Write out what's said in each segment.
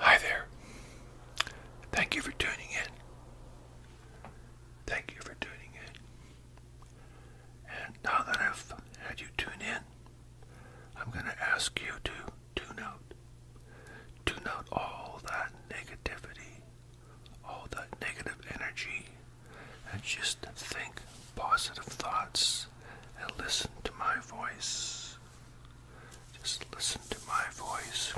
Hi there. Thank you for tuning in. Thank you for tuning in. And now that I've had you tune in, I'm going to ask you to to not. to note all that negativity, all that negative energy, and just think positive thoughts and listen to my voice. Just listen to my voice.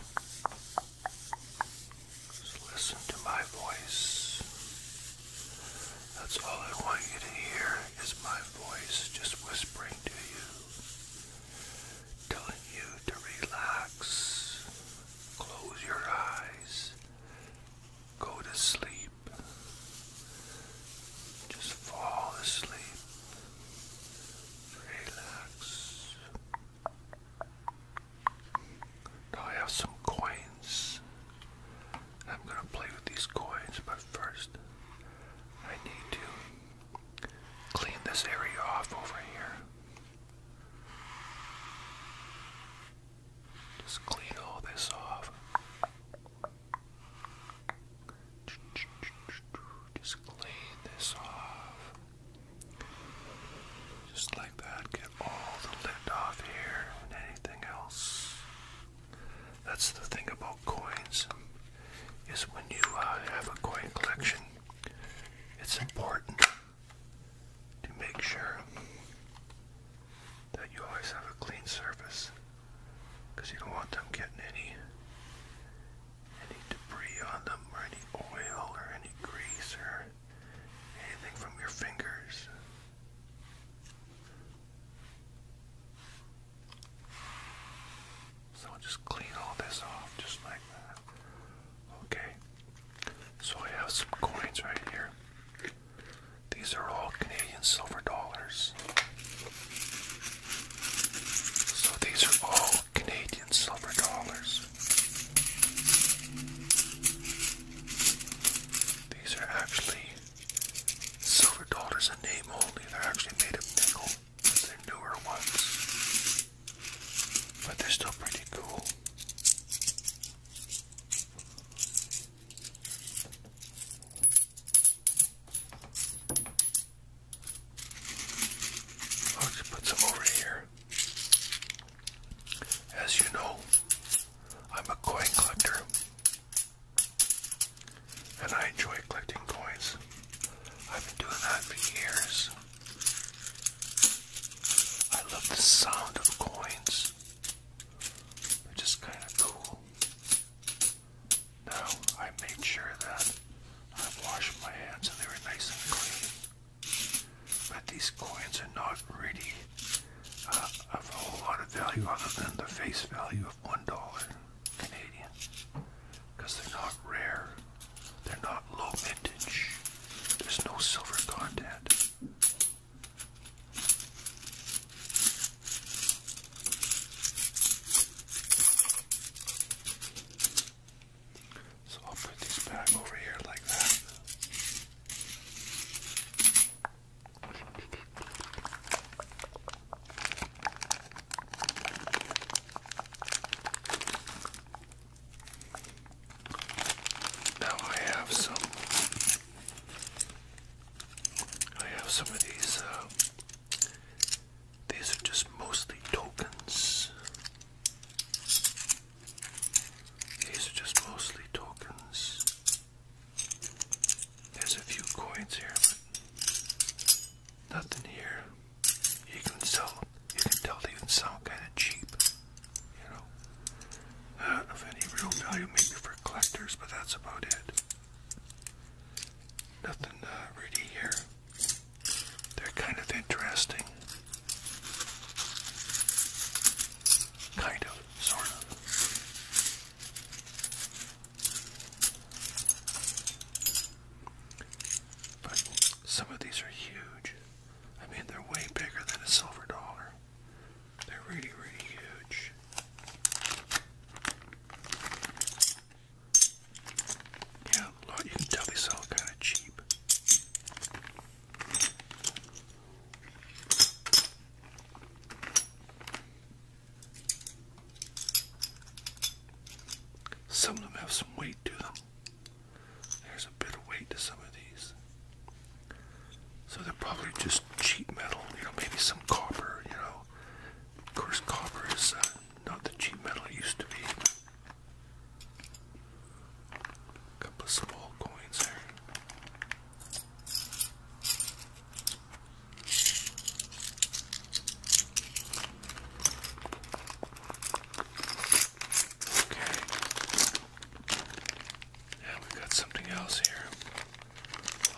Just listen to my voice. That's all I want you to hear is my voice just whispering to you telling you to relax, close your eyes, go to sleep, just fall asleep, relax. Now I have some coins. I'm going to play with these coins, but first I need to clean this area off over here. Just clean all this off. Just clean this off. Just like that. Get all the lid off here and anything else. That's the thing about coins is when you uh, have a coin collection it's important to make sure that you always have a clean surface because you don't want them getting any any debris on them or any oil or any grease or anything from your fingers. So I'll just clean all this off just like that. Okay. So I have some coins right here. These are all Canadian silver dollars. So these are all Canadian silver dollars. These are actually silver dollars in name only. They're actually made of nickel. They're newer ones, but they're still pretty cool. I'll just put some over here. As you know, I'm a coin collector. And I enjoy collecting coins. I've been doing that for years. I love the sound of coins. They're just kind of cool. Now, I made sure that I washed my hands and they were nice and clean. But these coins are not really uh, of a lot of value other than the face value of $1 Canadian because they're not rare, they're not low vintage, there's no silver content. So I'll put these back over here like that. Now I have some. I have some of these. Uh, these are just mostly tokens. These are just mostly tokens. There's a few coins here, Nothing here. You can sell. You can tell they even sound kind of cheap. You know. I uh, any real value, maybe for collectors, but that's about it. Nothing uh, really here. They're kind of interesting. Kind of, sort of. But some of these are huge. I mean, they're way bigger than a silver dollar. They're really, really huge. Yeah, a lot you can tell they sell kind of cheap. Some of them have some weight to them. There's a bit of weight to some of these. So they're probably just cheap metal, you know, maybe some copper, you know. Of course, copper is uh, not the cheap metal it used to be. A couple of small coins there. Okay. And we got something else here.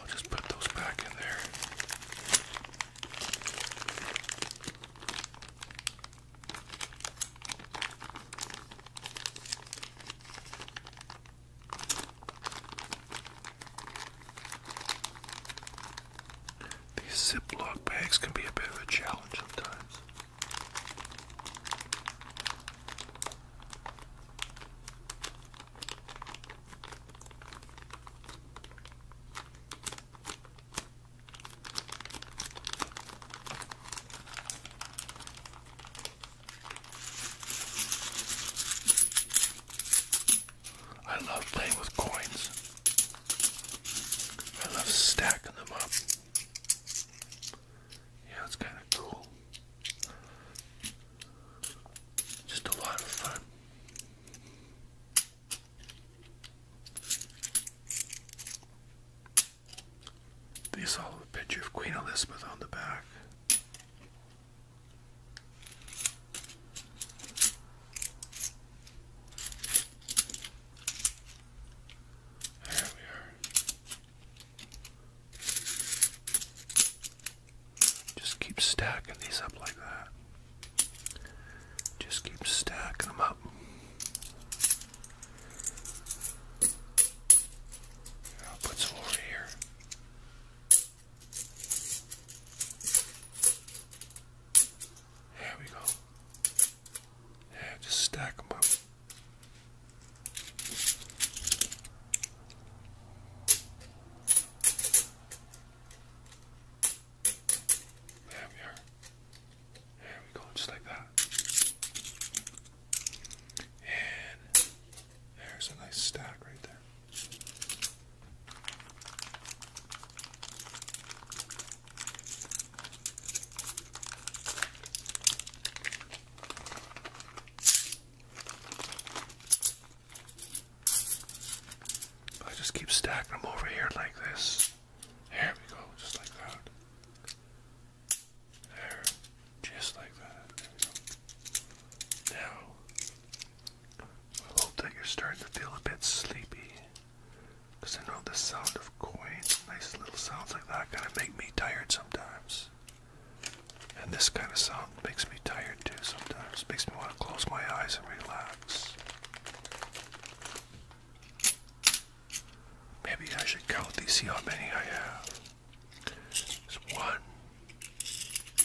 I'll just put those back in there. These Ziploc bags can be a bit of a challenge sometimes. I love playing with coins. I love stacking them up. Yeah, it's kind of cool. Just a lot of fun. They saw a picture of Queen Elizabeth on the back. There we are. Just keep stacking these up like that. Just keep stacking them up. I'll put some over here. There we go just stack them up. There we are. There we go, just like that. And there's a nice stack right there. I just keep stacking them over here like this. There we go, just like that. There, just like that. Now, I hope that you're starting to feel a bit sleepy. Because I know the sound of coins, nice little sounds like that, kind of make me tired sometimes. And this kind of sound makes me tired too sometimes. Makes me want to close my eyes and relax. Maybe I should count these, see how many I have. It's one,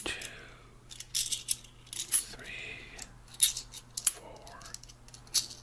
two, three, four,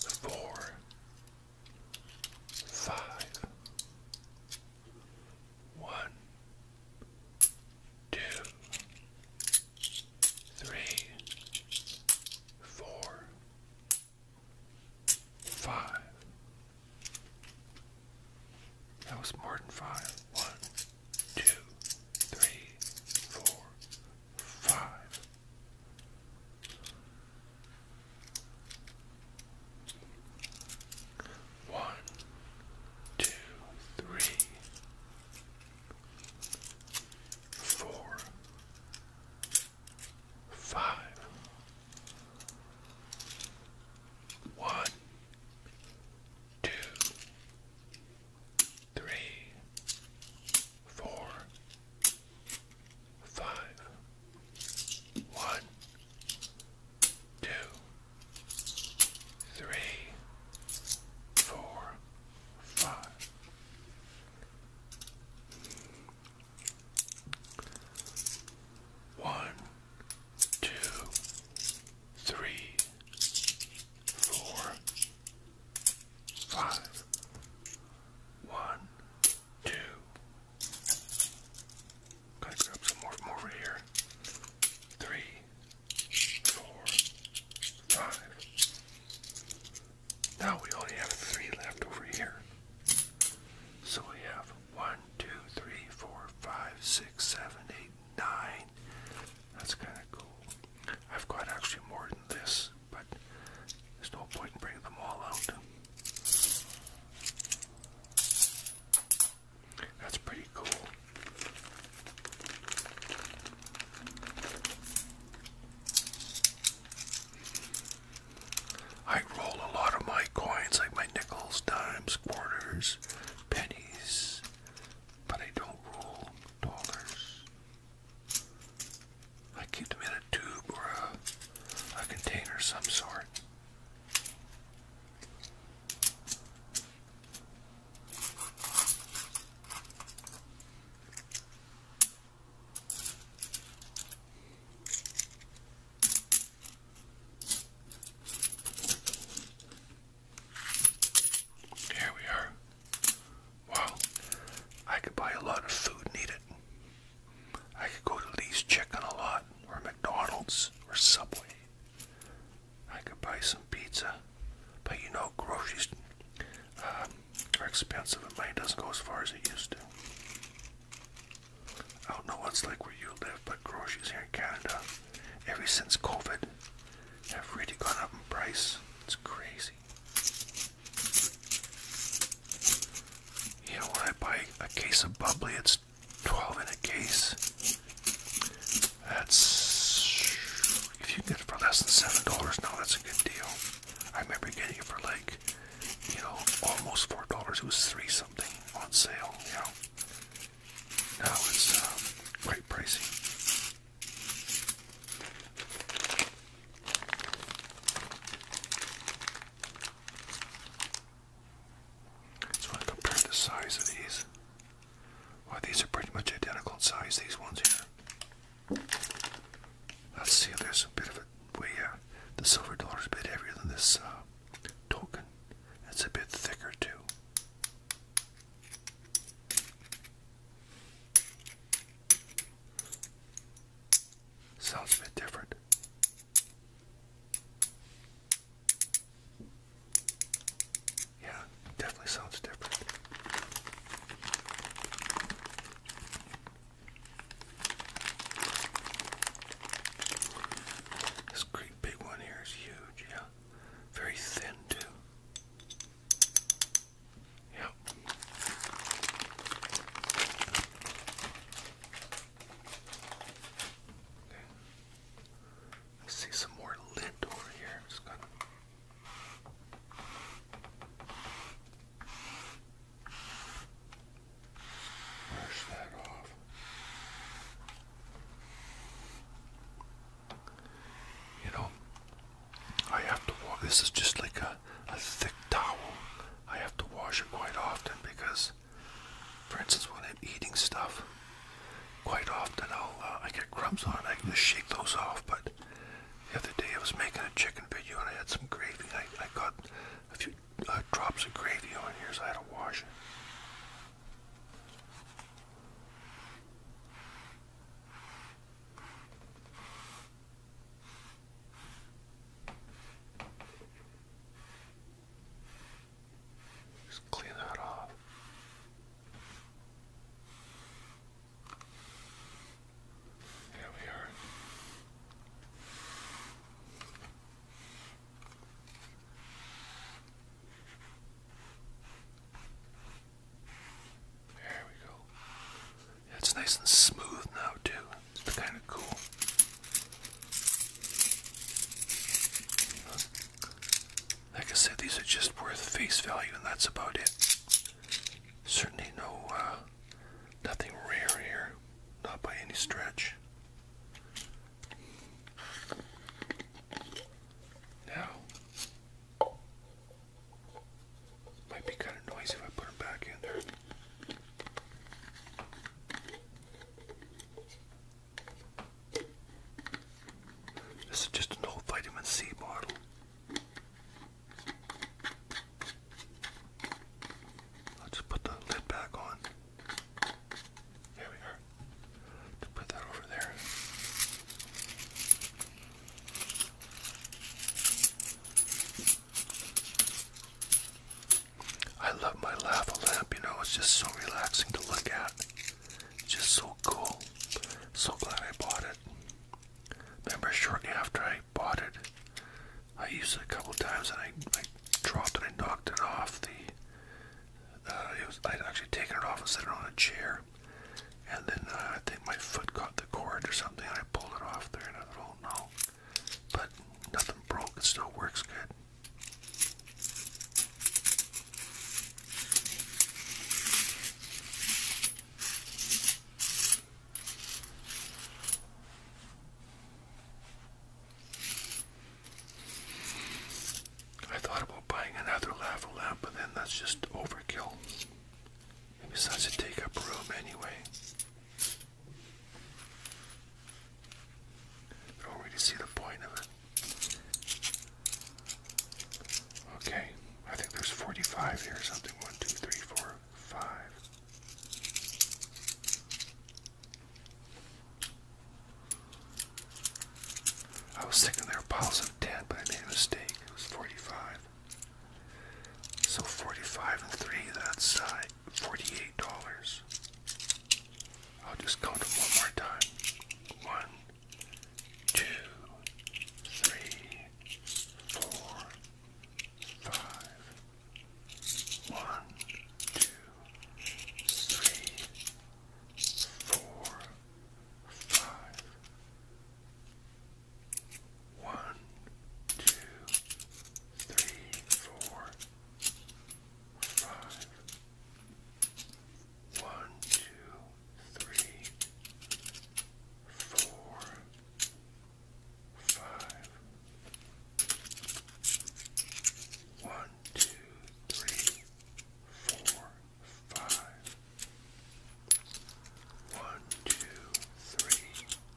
four, five, one, two, three, four, five. That was more than five. One, two, three, four, five. One, two, three, four, five. One, two, three, four, five, one, two, three, four, five. One, two, three, four, five, one, two. Gotta grab some more from over here. Three, four, five. Now we only have three left over here. So we have one, two, three, four, five, six, seven, eight, nine. That's kind of cool. I've got actually more than this but there's no point in bringing them all out. That's pretty cool. I roll a lot of my coins, like my nickels, dimes, quarters, pennies, but I don't roll dollars. I keep them in a tube or a, container of some sort. Here we are. Wow, I could buy a lot of food needed. I could go to Lee's Chicken a lot, or McDonald's, or Subway. I could buy some pizza, but you know, groceries um, are expensive and money doesn't go as far as it used to. I don't know what's like where you live, but groceries here in Canada, ever since COVID, have really gone up in price. It's crazy. You know, when I buy a case of bubbly, it's 12 in a case. That's. If you get it for less than $7 No, that's a good deal. I remember getting it for like, you know, almost $4. It was 3 something on sale, you know. Now it's um, quite pricey. So I compared the size of these. Well, these are pretty much identical in size, these ones here. Let's see if there's a bit of a way yeah, uh, The silver dollar is a bit heavier than this uh, token. It's a bit thicker too. Sounds a bit different. Yeah, definitely sounds different. This great big one here is huge, yeah. Very thin, too. Yeah. see some more lint over here. just gonna brush that off. You know, I have to wash. This is just like a, a thick towel. I have to wash it quite often because, for instance, when I'm eating stuff, quite often I'll uh, I get crumbs on. it. I can just shake those off. But the other day I was making a chicken video and I had some gravy. I I got a few uh, drops of gravy on here, so I had to wash it. Just clean that off. Here we are. There we go. It's nice and smooth now, too. It's kind of cool. Like I said, these are just worth face value, and that's about it. Certainly no, uh, nothing rare here. Not by any stretch. Now, might be kind of noisy if I put them back in there. This is just an old vitamin C bottle. I'll just put the lid back on. There we are. put that over there. I love my lava lamp, you know, it's just so relaxing to look at. Just so cool. So glad I bought it. Remember, shortly after I bought it, I used it a couple times and I, dropped it and knocked it off the. Uh, it was I'd actually taken it off and set it on a chair, and then uh, I think my foot caught the cord or something. And I pulled it off there, and I thought, oh no! But nothing broke, it still works good. I thought about buying another lava lamp, but then that's just overkill. besides, it take up room anyway. I do see the point of it. Okay, I think there's 45 here something. 1, 2, 3, 4, 5. I was thinking there were piles of 10, but I made a mistake. It was 45. So 45 and 3, that's uh, $48. I'll just count them one more time. One, two, three, four, five. One, two, three, four, five. One, two, three, four, five. One, two, three, four, five. One, two, three, four, five. One, two, three,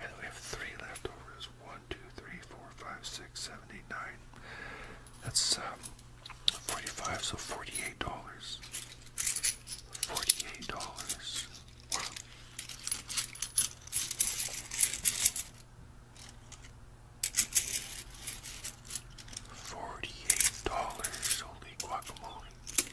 And we have three leftovers. One, two, three, four, five, six, seven, eight, nine. That's um, 45, so $48. $48. Wow. $48. Holy guacamole.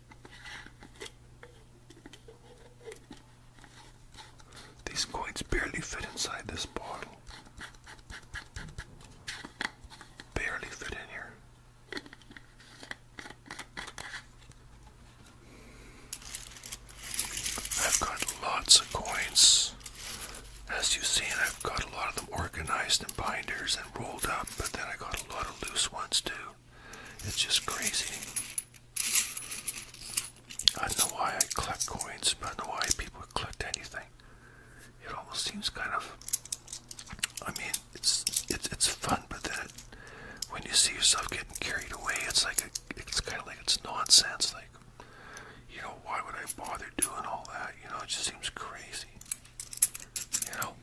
These coins barely fit inside this bottle. Barely fit in here. I've got lots of coins. As you've I've got a lot of them organized in binders and rolled up, but then I got a lot of loose ones too. It's just crazy. I don't know why I collect coins, but I don't know why people collect anything. It almost seems kind of. I mean, it's it's fun, but then it, when you see yourself getting carried away, it's like it's kind of like it's nonsense. Like, you know, why would I bother doing all that? You know, it just seems crazy. You know.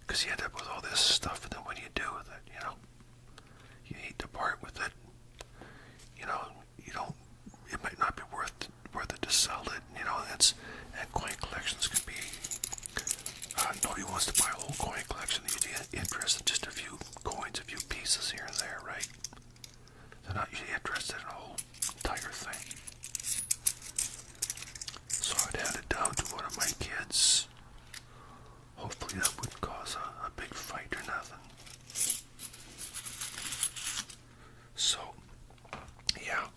Because you end up with all this stuff, and then what do you do with it? You know, you hate to part with it. You know, you don't. It might not be worth worth it to sell it. You know, it's and coin collections can be. Uh, nobody wants to buy a whole coin collection. You'd be interested in just a few coins, a few pieces here and there, right? They're not usually interested in a whole entire thing. So I'd hand it down to one of my kids. Hopefully that wouldn't cause a, big fight or nothing. So, yeah.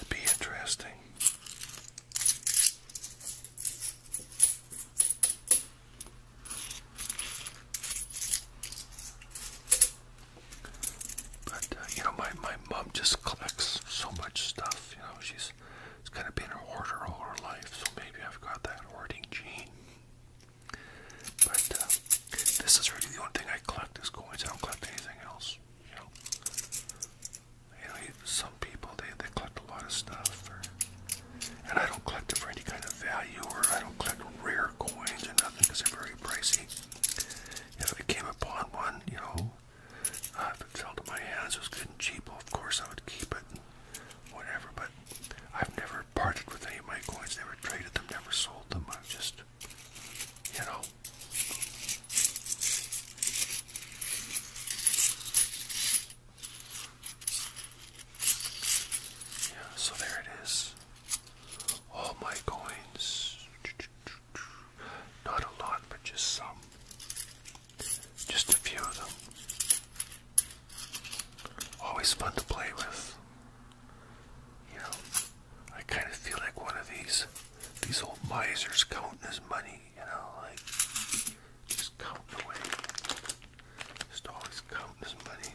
It'd be interesting. But uh, you know, my my mom just collects so much stuff. You know, she's it's kind of been an hoarder all her life, so maybe I've got that hoarding gene. But uh, this is really the only thing I collect is coins. I don't collect anything else. You know, you know some people they they collect a lot of stuff, or, and I don't collect it for any kind of value, or I don't collect rare rare coins or nothing because they're very pricey. If I came upon one, you know, uh, if it fell to my hands, it was good and cheap, well, of course I would keep it, and whatever. But I've never parted with any of my coins, never traded them, never sold them. I've just, you know. Yeah, so there it is all my coins. Not a lot, but just some. Just a few of them. Always fun to play with. You know, I kind of feel like one of these these old misers counting his money, you know, like just counting away. Just always counting his money.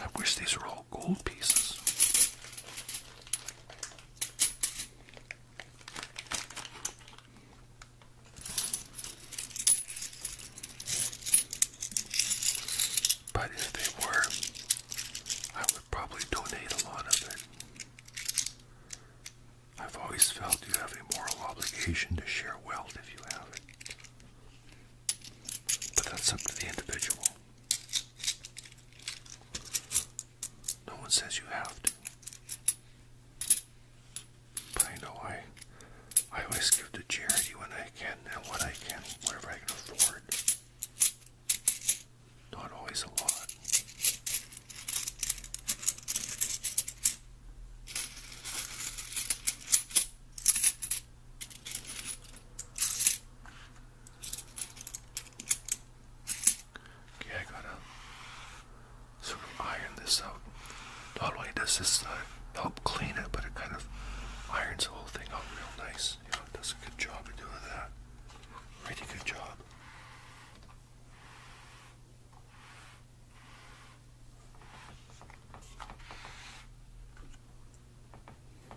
I wish these were all gold pieces. But if they were, I would probably donate a lot of it. I've always felt you have a moral obligation to share wealth if you have it. But that's up to the individual. No one says you have to. But I know I I always give to charity when I can and what I can, whatever I can afford. Not always a lot. Okay, I gotta sort of iron this out. Not only does this uh, help clean it, but it kind of irons the whole thing out real nice. You know, it does a good job of doing that. Really good job.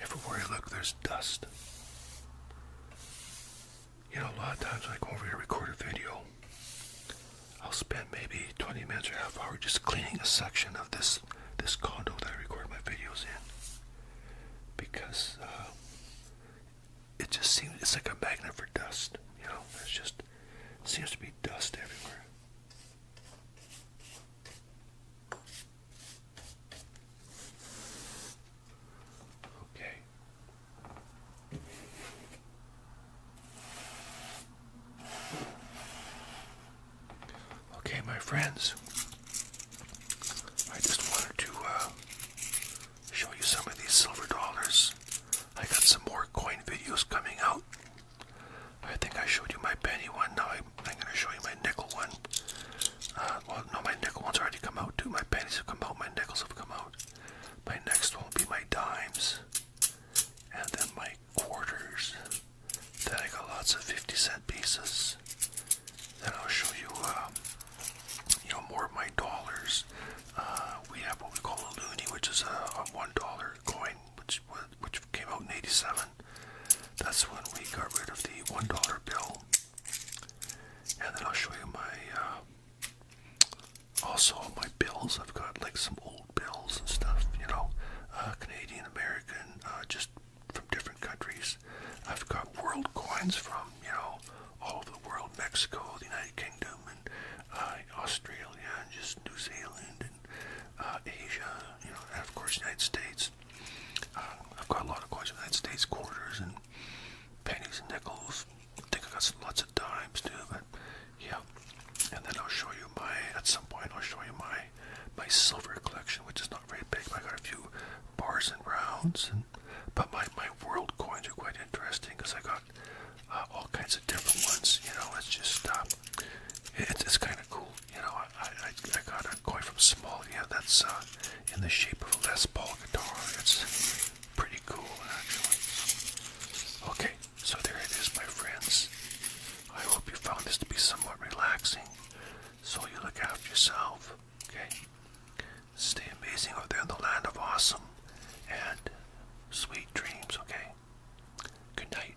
Everywhere I look, there's dust. You know, a lot of times when I go over here record a video, I'll spend maybe 20 minutes or half hour just cleaning a section of this this condo that I record my videos in because uh, it just seems it's like a magnet for dust. You know, there's just seems to be dust everywhere. Okay. Okay, my friends. I just wanted to uh, show you some of these silver dollars. I got some more coin videos coming out I think I showed you my penny one. Now I, am going to show you my nickel one. Uh, well, no, my nickel one's already come out too. My pennies have come out. My nickels have come out. My next one will be my dimes. And then my quarters. Then I got lots of 50 cent pieces. Then I'll show you, um, you know, more of my dollars. Uh, we have what we call a loonie, which is a, a one dollar coin, which which came out in 87. That's when we got rid of the $1 bill. And then I'll show you my, uh, also my bills. I've got like some old bills and stuff, you know, uh, Canadian, American, uh, just from different countries. I've got world coins from, you know, all the world, Mexico, the United Kingdom, and Australia, and just New Zealand, and uh, Asia, you know, and of course, United States. Uh, I've got a lot of coins, United States quarters and pennies and nickels. I think I got some, lots of dimes too, but yeah. And then I'll show you my, at some point, I'll show you my my silver collection, which is not very big. But I got a few bars and rounds, and but my my world coins are quite interesting because I got uh, all kinds of different ones. You know, it's just uh, it's it's kind of cool. You know, I, I, got a koi from Somalia that's uh, in the shape of a Les Paul guitar. It's pretty cool, actually. Okay, so there it is, my friends. I hope you found this to be somewhat relaxing. So you look after yourself, okay? Stay amazing out there in the land of awesome and sweet dreams, okay? Good night.